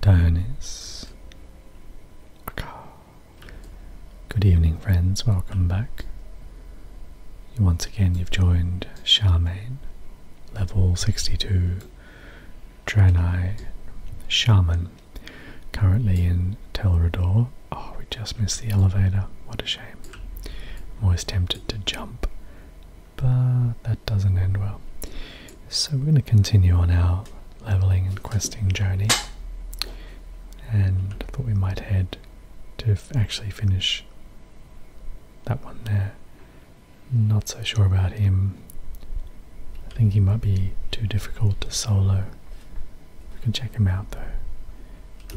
Dionys. Good evening, friends. Welcome back. Once again, you've joined Charmaine, level 62, Draenei Shaman, currently in Telrador. Oh, we just missed the elevator. What a shame. always tempted to jump but that doesn't end well. So we're going to continue on our leveling and questing journey, and I thought we might head to actually finish that one there. Not so sure about him. I think he might be too difficult to solo. We can check him out though.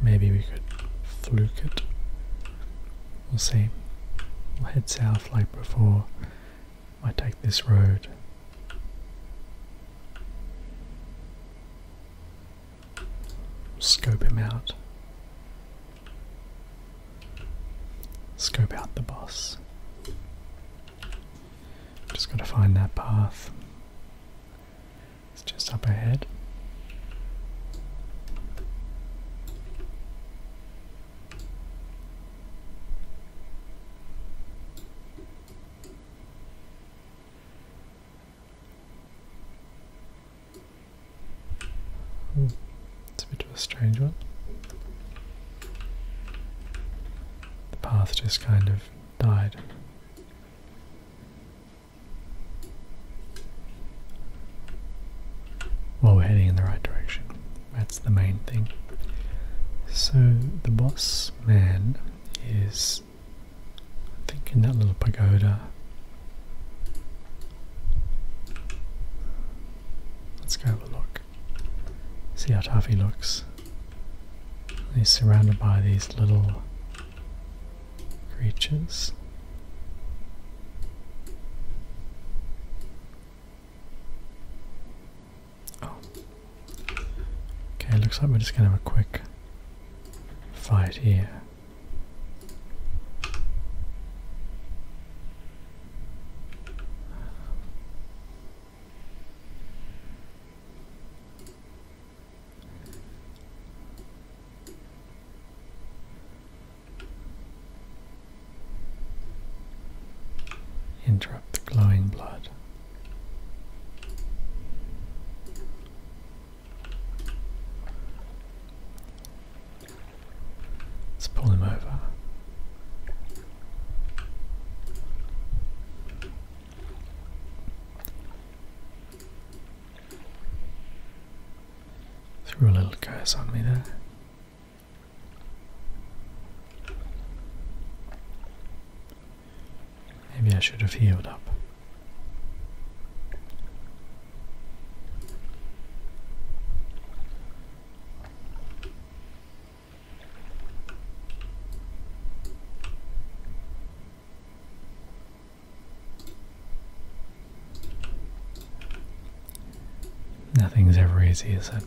Maybe we could fluke it. We'll see. We'll head south path before. I take this road. Scope him out. Scope out the boss. Just gotta find that path. It's just up ahead. Hmm. It's a bit of a strange one. The path just kind of died. Well, we're heading in the right direction. That's the main thing. So the boss man is, I think, in that little pagoda. Let's go have a look. See how tough he looks. He's surrounded by these little creatures. Oh. Okay, looks like we're just gonna have a quick fight here. Interrupt the glowing blood. Let's pull him over. Threw a little curse on me there. Maybe I should have healed up. Nothing's ever easy, is it?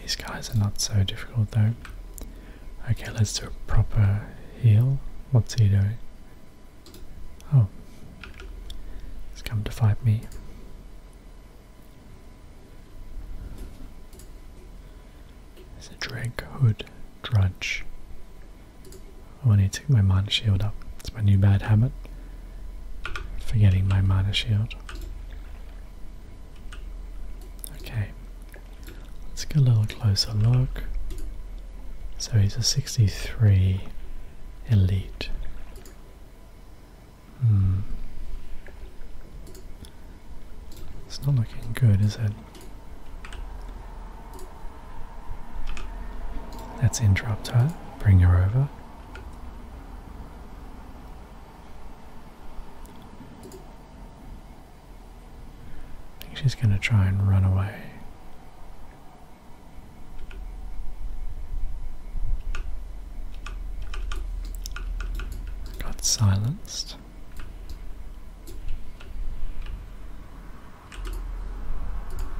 These guys are not so difficult though. Okay, let's do a proper heal. What's he doing? Oh, he's come to fight me. It's a drag hood drudge. Oh, I need to get my mana shield up. It's my new bad habit. Forgetting my mana shield. Okay. Let's get a little closer look. So he's a 63 elite. Hmm. It's not looking good, is it? Let's interrupt her, bring her over. she's going to try and run away. Got silenced.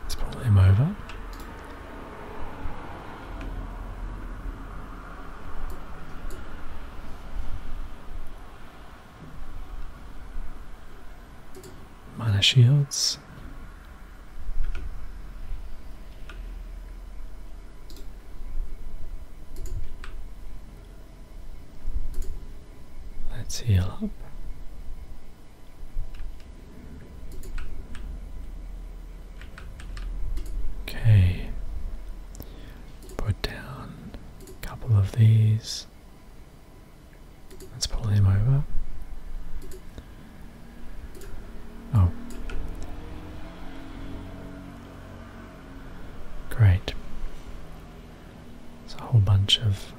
Let's pull him over. Mana shields. Let's heal up. Okay, put down a couple of these. Let's pull him over. Oh, great. It's a whole bunch of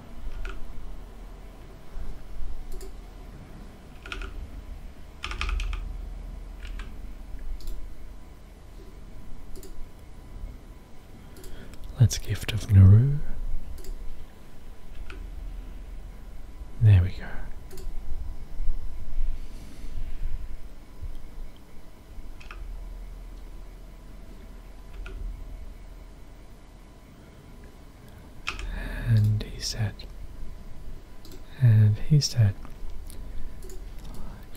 That's gift of Nauru. There we go. And he said, and he said,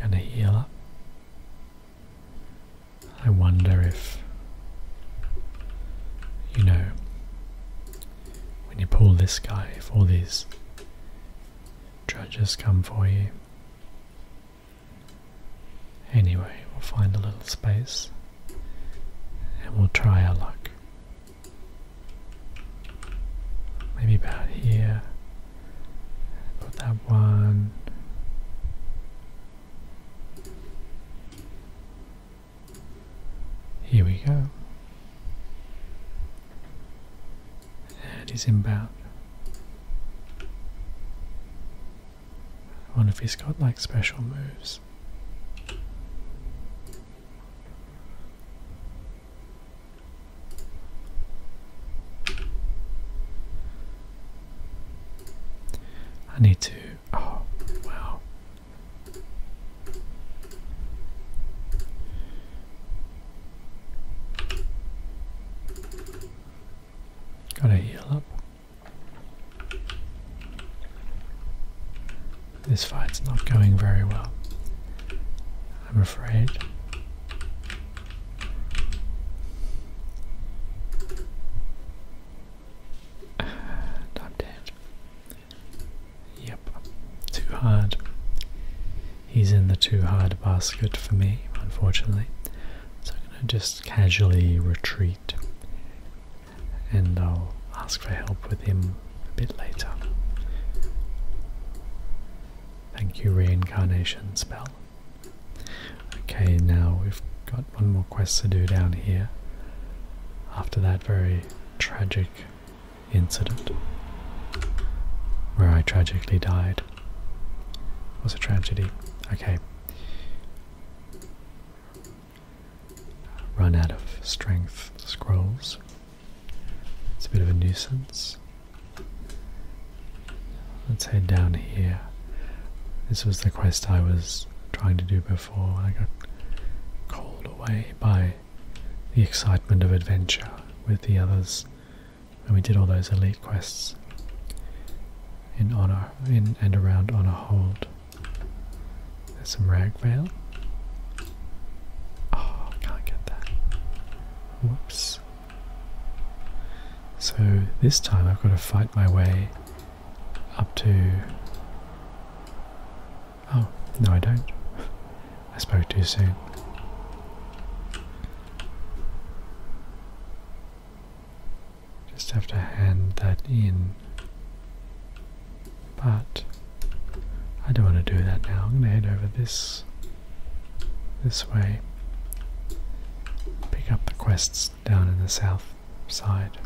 gonna heal up. I wonder if, you know, when you pull this guy, if all these judges come for you. Anyway, we'll find a little space and we'll try our luck. Maybe about here. Put that one. Here we go. And he's about. I wonder if he's got like special moves. I need to. Oh, wow. Gotta heal up. This fight's not going very well, I'm afraid. And i Yep, too hard. He's in the too hard basket for me, unfortunately. So I'm going to just casually retreat and I'll ask for help with him a bit later. Thank you, reincarnation spell. Okay, now we've got one more quest to do down here after that very tragic incident where I tragically died. It was a tragedy. Okay run out of strength scrolls. It's a bit of a nuisance. Let's head down here. This was the quest I was trying to do before I got called away by the excitement of adventure with the others when we did all those elite quests in on our in and around on a hold. There's some rag Oh, can't get that. Whoops. So this time I've got to fight my way up to. Oh, no, I don't. I spoke too soon. Just have to hand that in. But I don't want to do that now. I'm going to head over this this way. Pick up the quests down in the south side.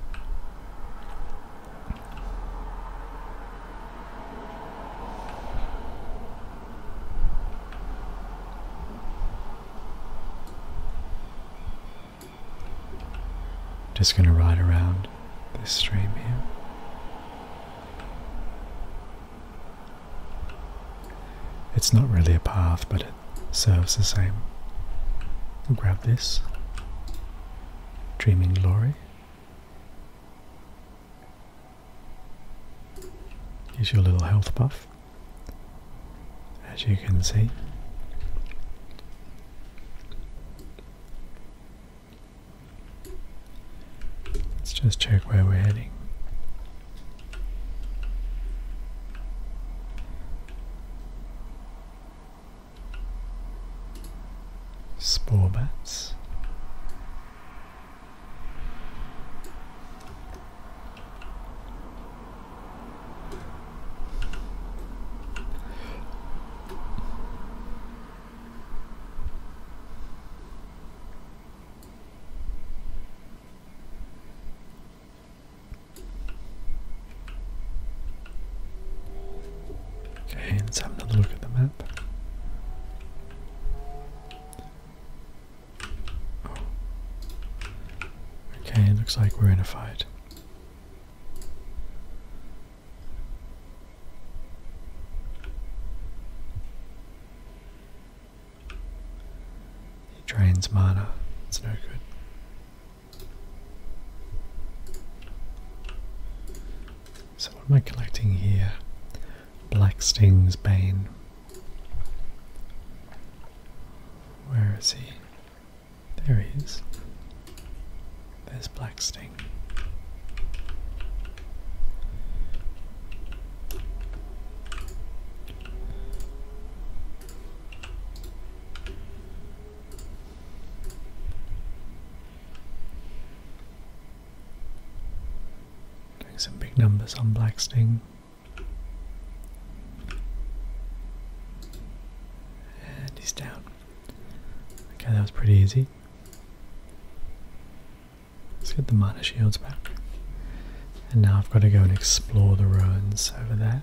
Just going to ride around this stream here. It's not really a path, but it serves the same. grab this. Dreaming Glory. Here's your little health buff as you can see. Let's just check where we're heading. Spore bats. Okay, let's have another look at the map. Okay, it looks like we're in a fight. He drains mana, it's no good. So, what am I collecting here? Black Sting's Bane. Where is he? There he is. There's Blacksting. Doing some big numbers on Black and he's down. Okay, that was pretty easy. Let's get the minor shields back. And now I've got to go and explore the ruins over there.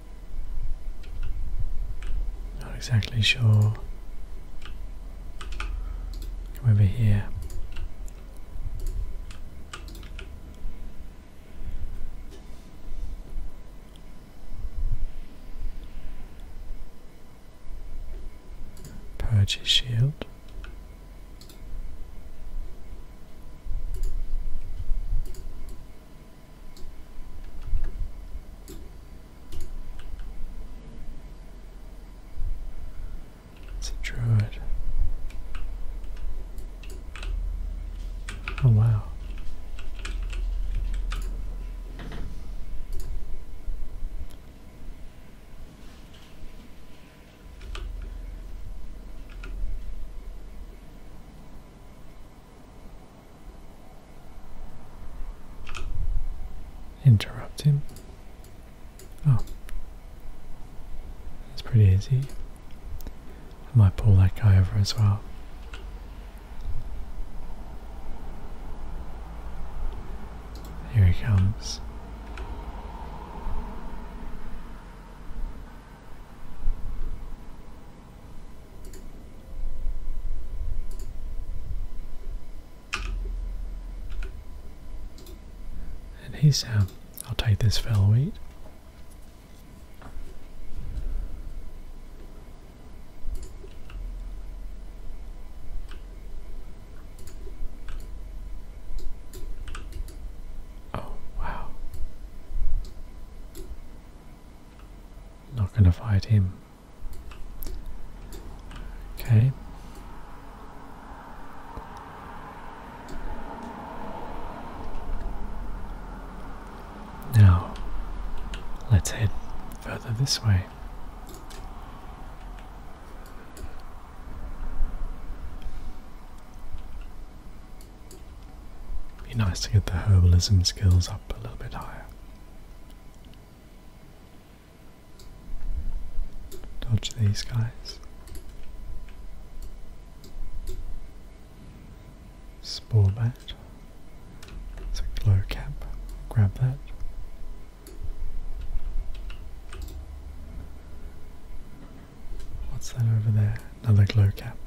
Not exactly sure. Come over here. Purchase shield. It's a druid. Oh, wow. Interrupt him. Oh. It's pretty easy. I might pull that guy over as well. Here he comes. And he's, um, I'll take this fellow wheat. Oh, wow. Not going to fight him. Okay. Now, let's head further this way. Be nice to get the herbalism skills up a little bit higher. Dodge these guys. Spore bat. It's a glow cap. Grab that. What's that over there? Another glow cap.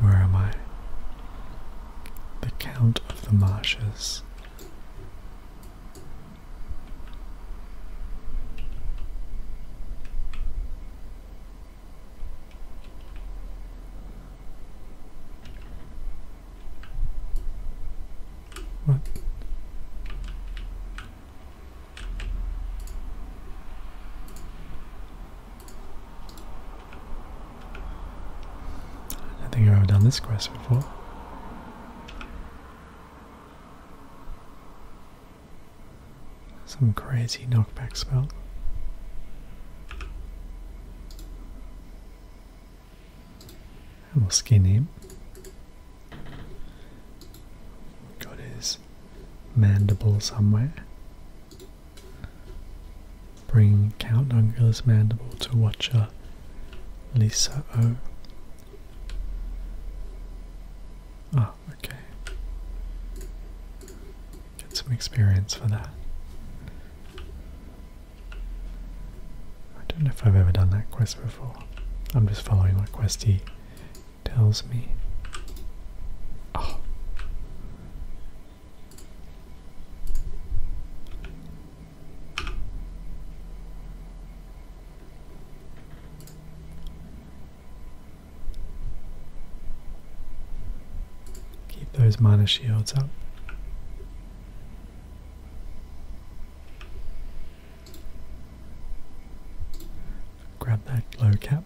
Where am I? The Count of the Marshes. What? I think I've done this quest before. Some crazy knockback spell. And we'll skin him. Got his mandible somewhere. Bring Count Ungula's mandible to Watcher Lisa O. Ah, oh, okay. Get some experience for that. I don't know if I've ever done that quest before. I'm just following what Questy tells me. Oh. Keep those minor shields up. Grab that low cap.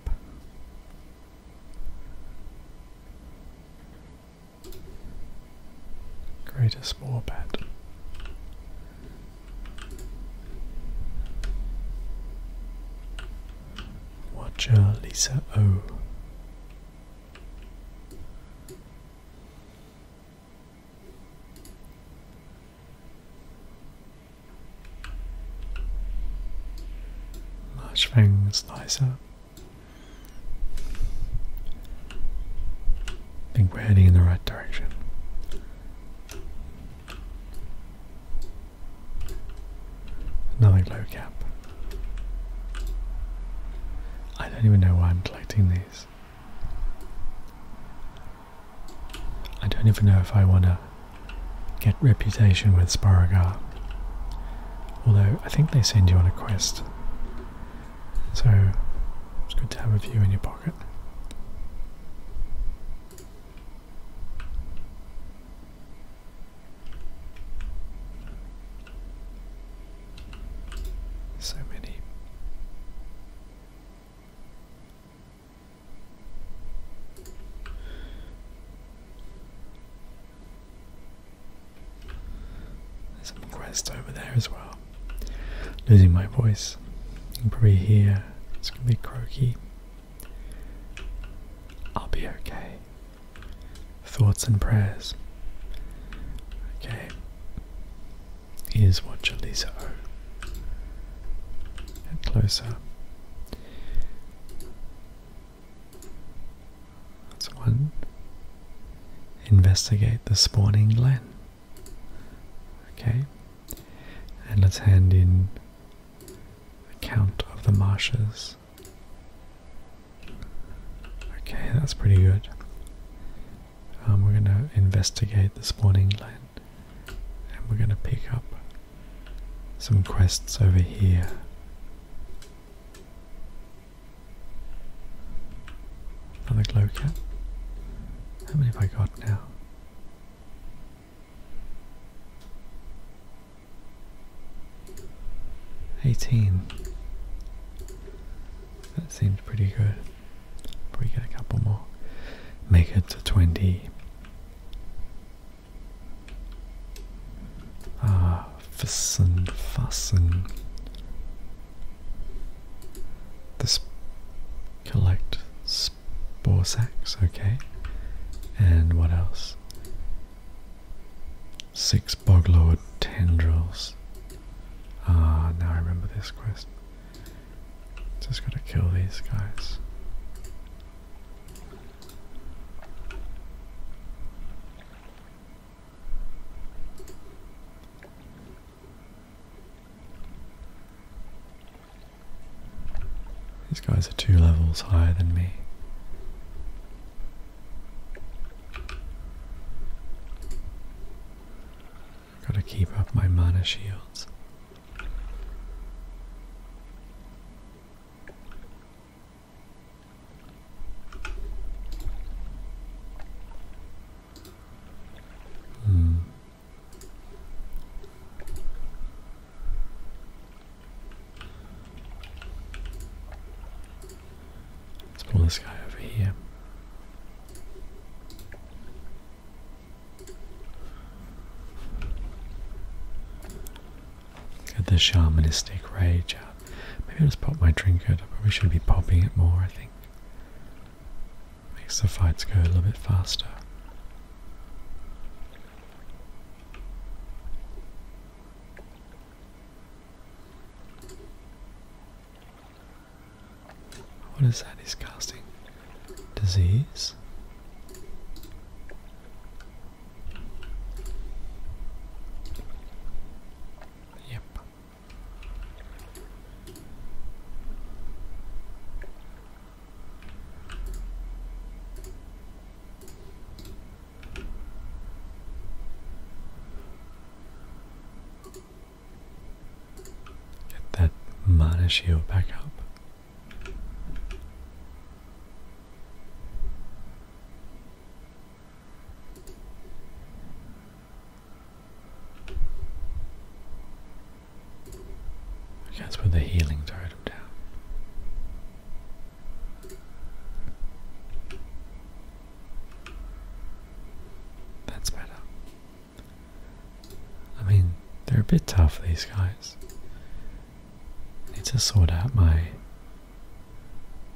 Greatest bat. Watcher Lisa O. Much things nicer. I think we're heading in the right direction. Another glow cap. I don't even know why I'm collecting these. I don't even know if I want to get reputation with Sporogar. Although, I think they send you on a quest. So, it's good to have a few in your pocket. So many. There's some quest over there as well. Losing my voice. You can probably hear it's gonna be croaky. I'll be okay. Thoughts and prayers. Okay. Here's what Jaleesa O. Get closer. That's one. Investigate the spawning glen. Okay. And let's hand in Account of the marshes. Okay, that's pretty good. Um, we're going to investigate the spawning land and we're going to pick up some quests over here. Another glow cap. How many have I got now? 18. That seems pretty good. Probably get a couple more. Make it to 20. Ah, fussen, fussen. This collect Borsacks, okay. And what else? Six boglord tendrils. Ah, now I remember this quest. Just gotta kill these guys. These guys are two levels higher than me. Gotta keep up my mana shields. Hmm. Let's pull this guy over here. Get the shamanistic rage out. Maybe I'll just pop my trinket. I probably should be popping it more, I think. Makes the fights go a little bit faster. What is that? He's casting disease. Yep. Get that mana shield back up. Okay, let's put the healing totem down. That's better. I mean, they're a bit tough, these guys. I need to sort out my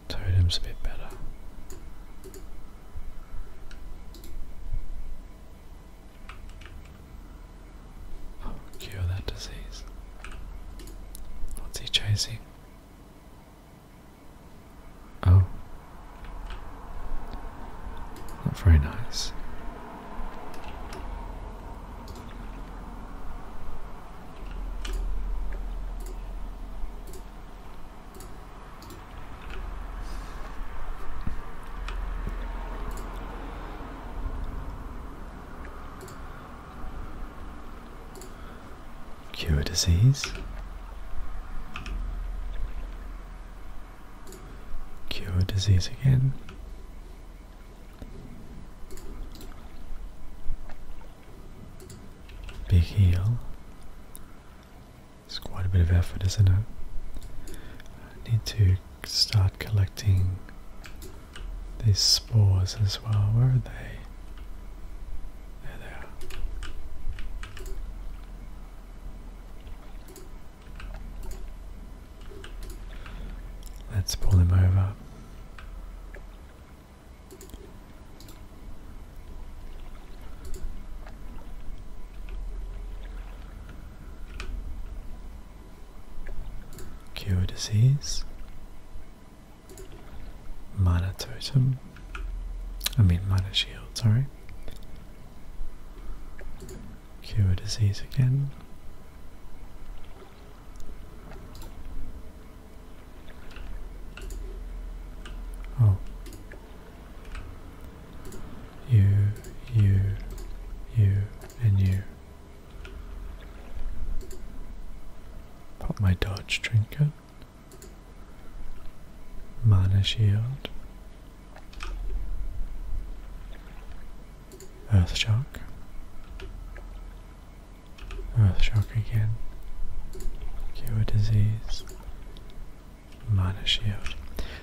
totems a bit better cure that disease. What's he chasing? Oh. Not very nice. Cure disease. Cure disease again. Big heal. It's quite a bit of effort, isn't it? I need to start collecting these spores as well. Where are they? There they are. Let's pull them over. Cure disease. Mana totem. I mean mana shield, sorry. Cure disease again. Oh. You, you, you, and you. Pop my dodge trinket. Mana shield. Earth shock. Earth shock again. Cure disease. Mana shield.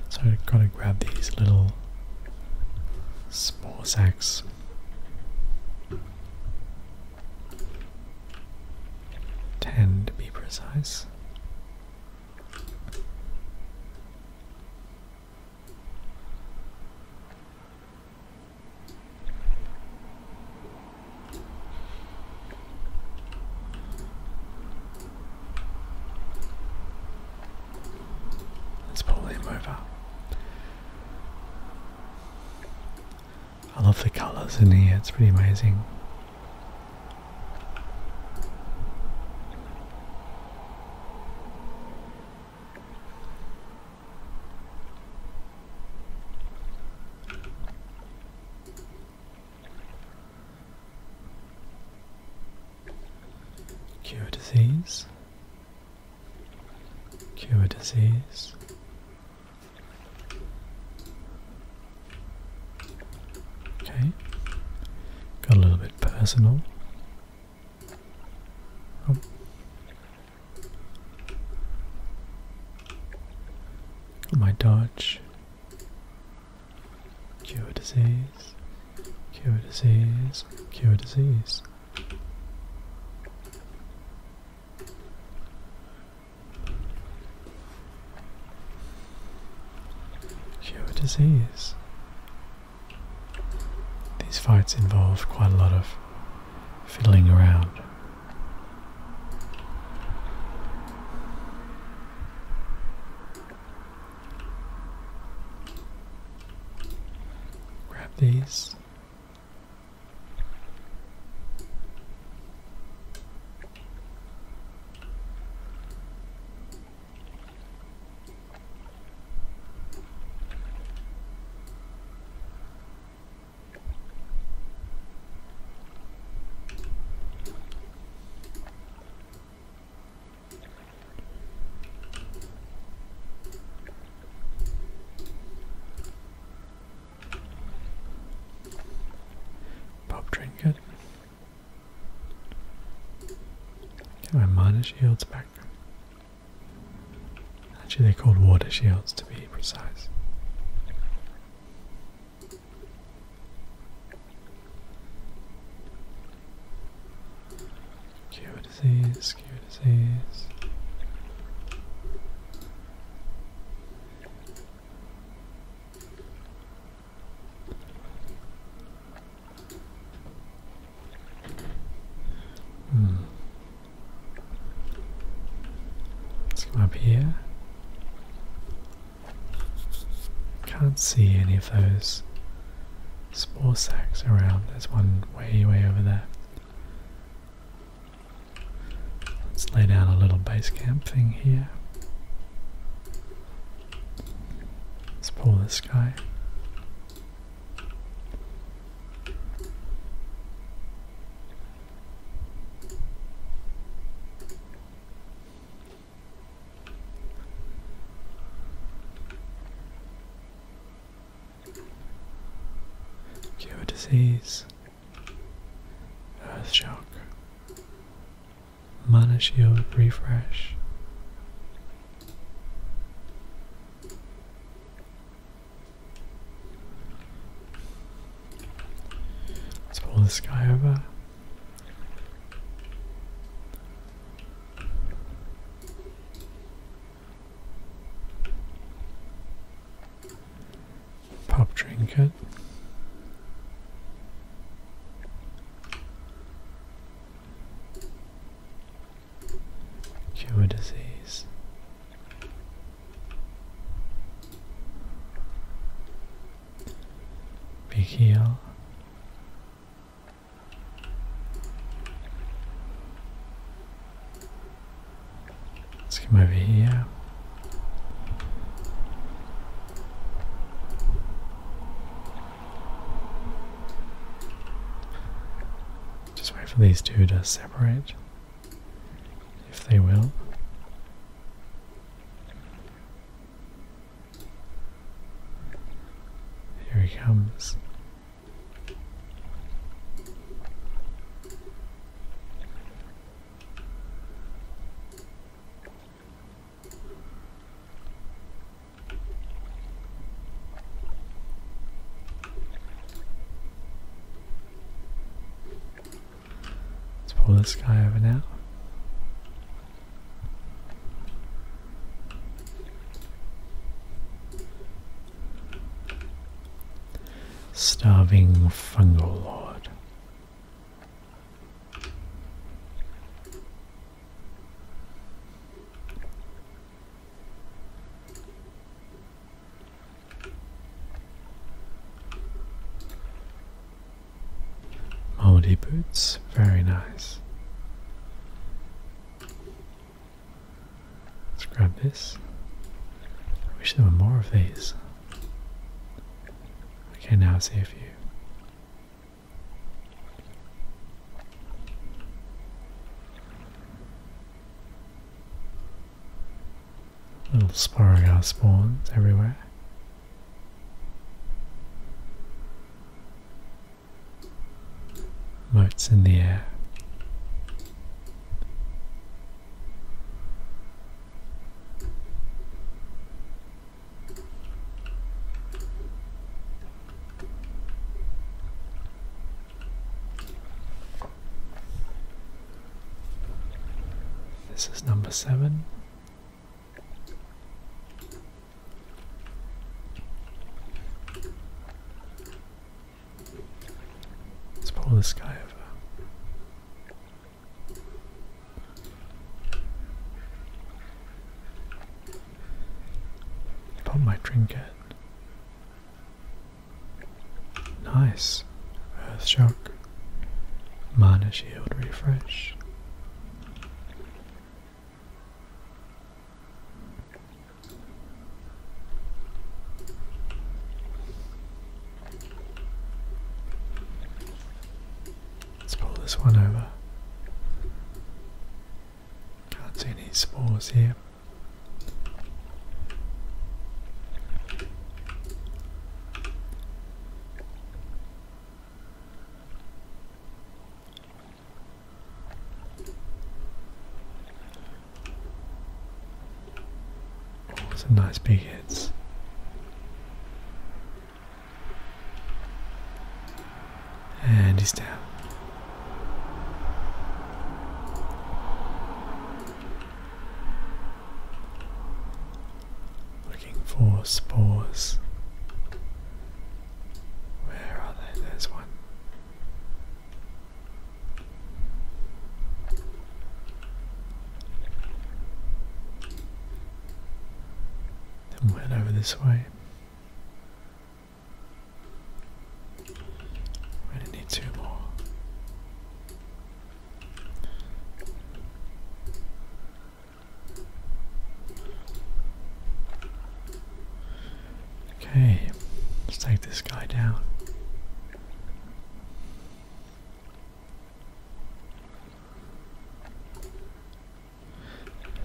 So I've got to grab these little small sacks. Ten to be precise. Let's pull them over. I love the colours in here, it's pretty amazing. Cure disease. Cure disease. Okay. Got a little bit personal. Oh. my dodge. Cure disease. Cure disease, cure disease. Cure disease. These fights involve quite a lot of fiddling around. Grab these. Pop trinket. Get my minor shields back. Actually, they're called water shields to be precise. Cure disease, cure disease. Hmm. Let's come up here. Can't see any of those spore sacks around. There's one way, way over there. Let's lay down a little base camp thing here. Let's pull this guy. Cure disease. Earth shock. Mana shield refresh. Let's pull this guy over. Pop trinket. Cure disease. Big heal. Let's come over here. Just wait for these two to separate, if they will. Here he comes. Let's pull this guy over now. Starving fungal lord. Moldy boots, very nice. Let's grab this. I wish there were more of these. Okay, now I see a few. Little Sporogar spawns everywhere. Notes in the air. This is number seven, Let's pull this guy over. Found my trinket. Nice. Earth shock. Minus shield refresh. Let's pull this one over. Can't see any spores here some nice big hits. And he's down. Looking for spores. Where are they? There's one. And went over this way. We need two more. Okay, let's take this guy down.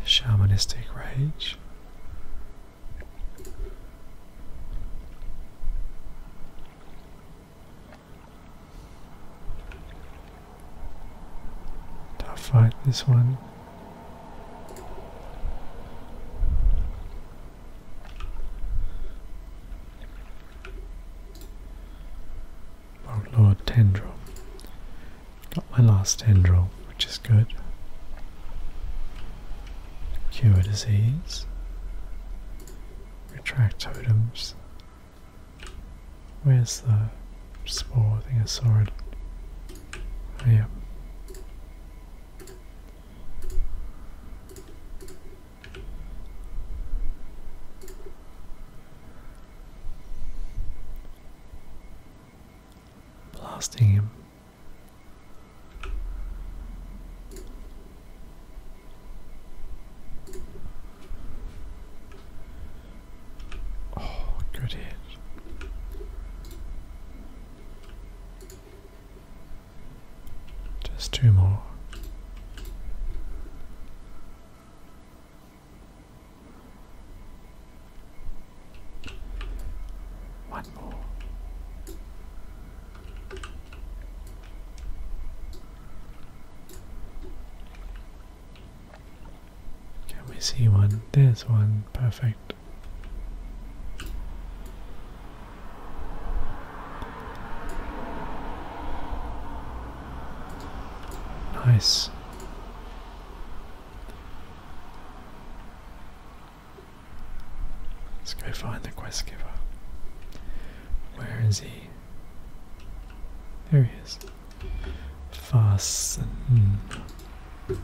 Shamanistic rage. Tough fight, this one. lord, tendril. Got my last tendril, which is good. Cure disease. Retract totems. Where's the spore? I think I saw it. Oh, yeah. Blasting him. Oh, good hit. Just two more. One more. Can we see one? There's one. Perfect. Nice. Let's go find the quest giver. Where is he? There he is fasten. Hmm.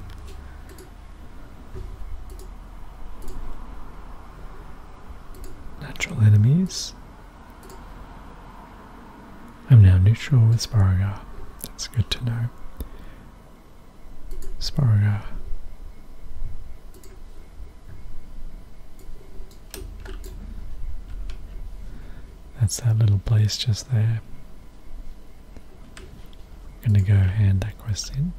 Natural enemies. I'm now neutral with Sporogar. That's good to know. Sporogar. That's that little place just there. I'm gonna go hand that quest in.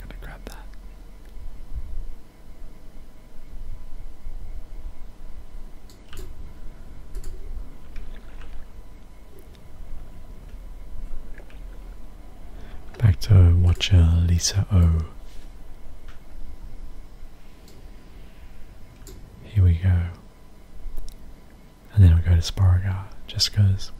gonna grab that. Back to watcher Lisa O. Here we go. And then I'll go to Sporogar, just because.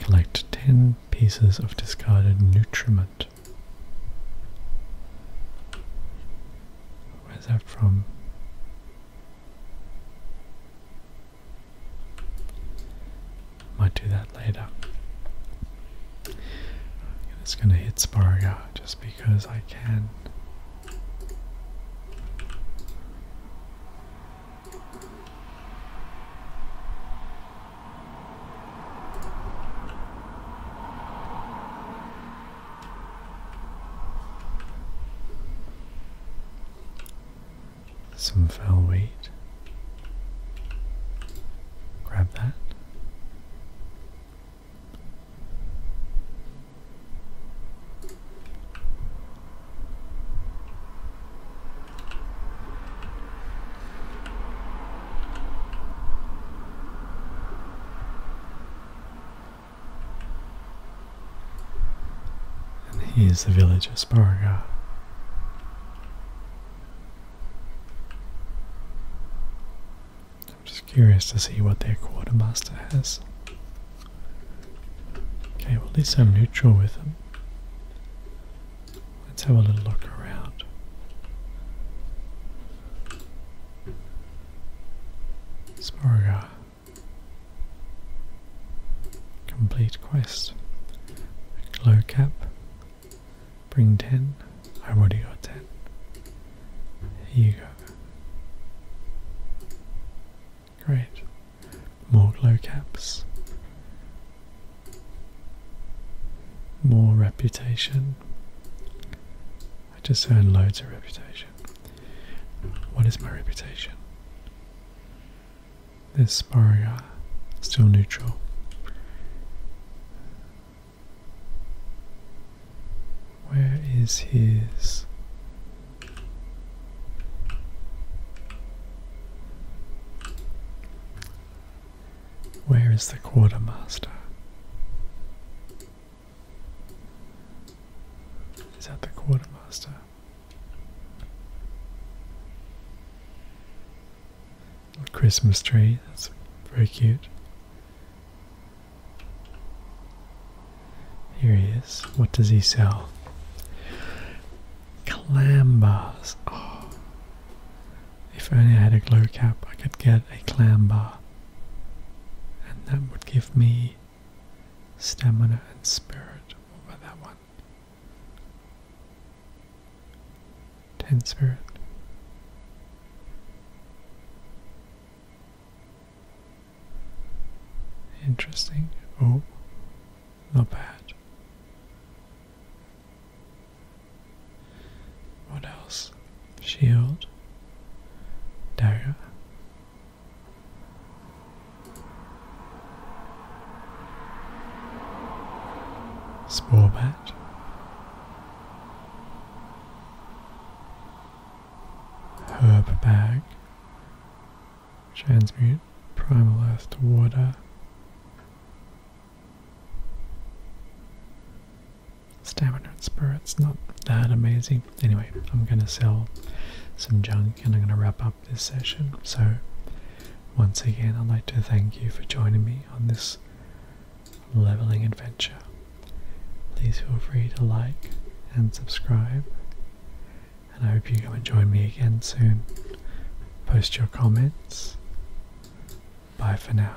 Collect 10 pieces of discarded nutriment. Where's that from? Might do that later. It's gonna hit Sporoga just because I can. Some foul weight. Grab that. And here's the village of Sporogar. I'm just curious to see what their quartermaster has. Okay, well at least I'm neutral with them. Let's have a little look around. Smorga. Complete quest. Glow cap. Bring 10. I already got 10. Here you go. Great. More glow caps. More reputation. I just earned loads of reputation. What is my reputation? This Borear, still neutral. Where is his Where is the quartermaster? Is that the quartermaster? Christmas tree, that's very cute. Here he is. What does he sell? Clam bars. Oh. If only I had a glow cap, I could get a clam bar and that would give me stamina and spirit over that one. 10 spirit. Interesting. Oh, not bad. What else? Shield. Dagger. Spore bat. Herb bag. Transmute primal earth to water. Stamina and spirit's not that amazing. Anyway, I'm gonna sell some junk and I'm gonna wrap up this session. So once again I'd like to thank you for joining me on this leveling adventure. Please feel free to like and subscribe. And I hope you come and join me again soon. Post your comments. Bye for now.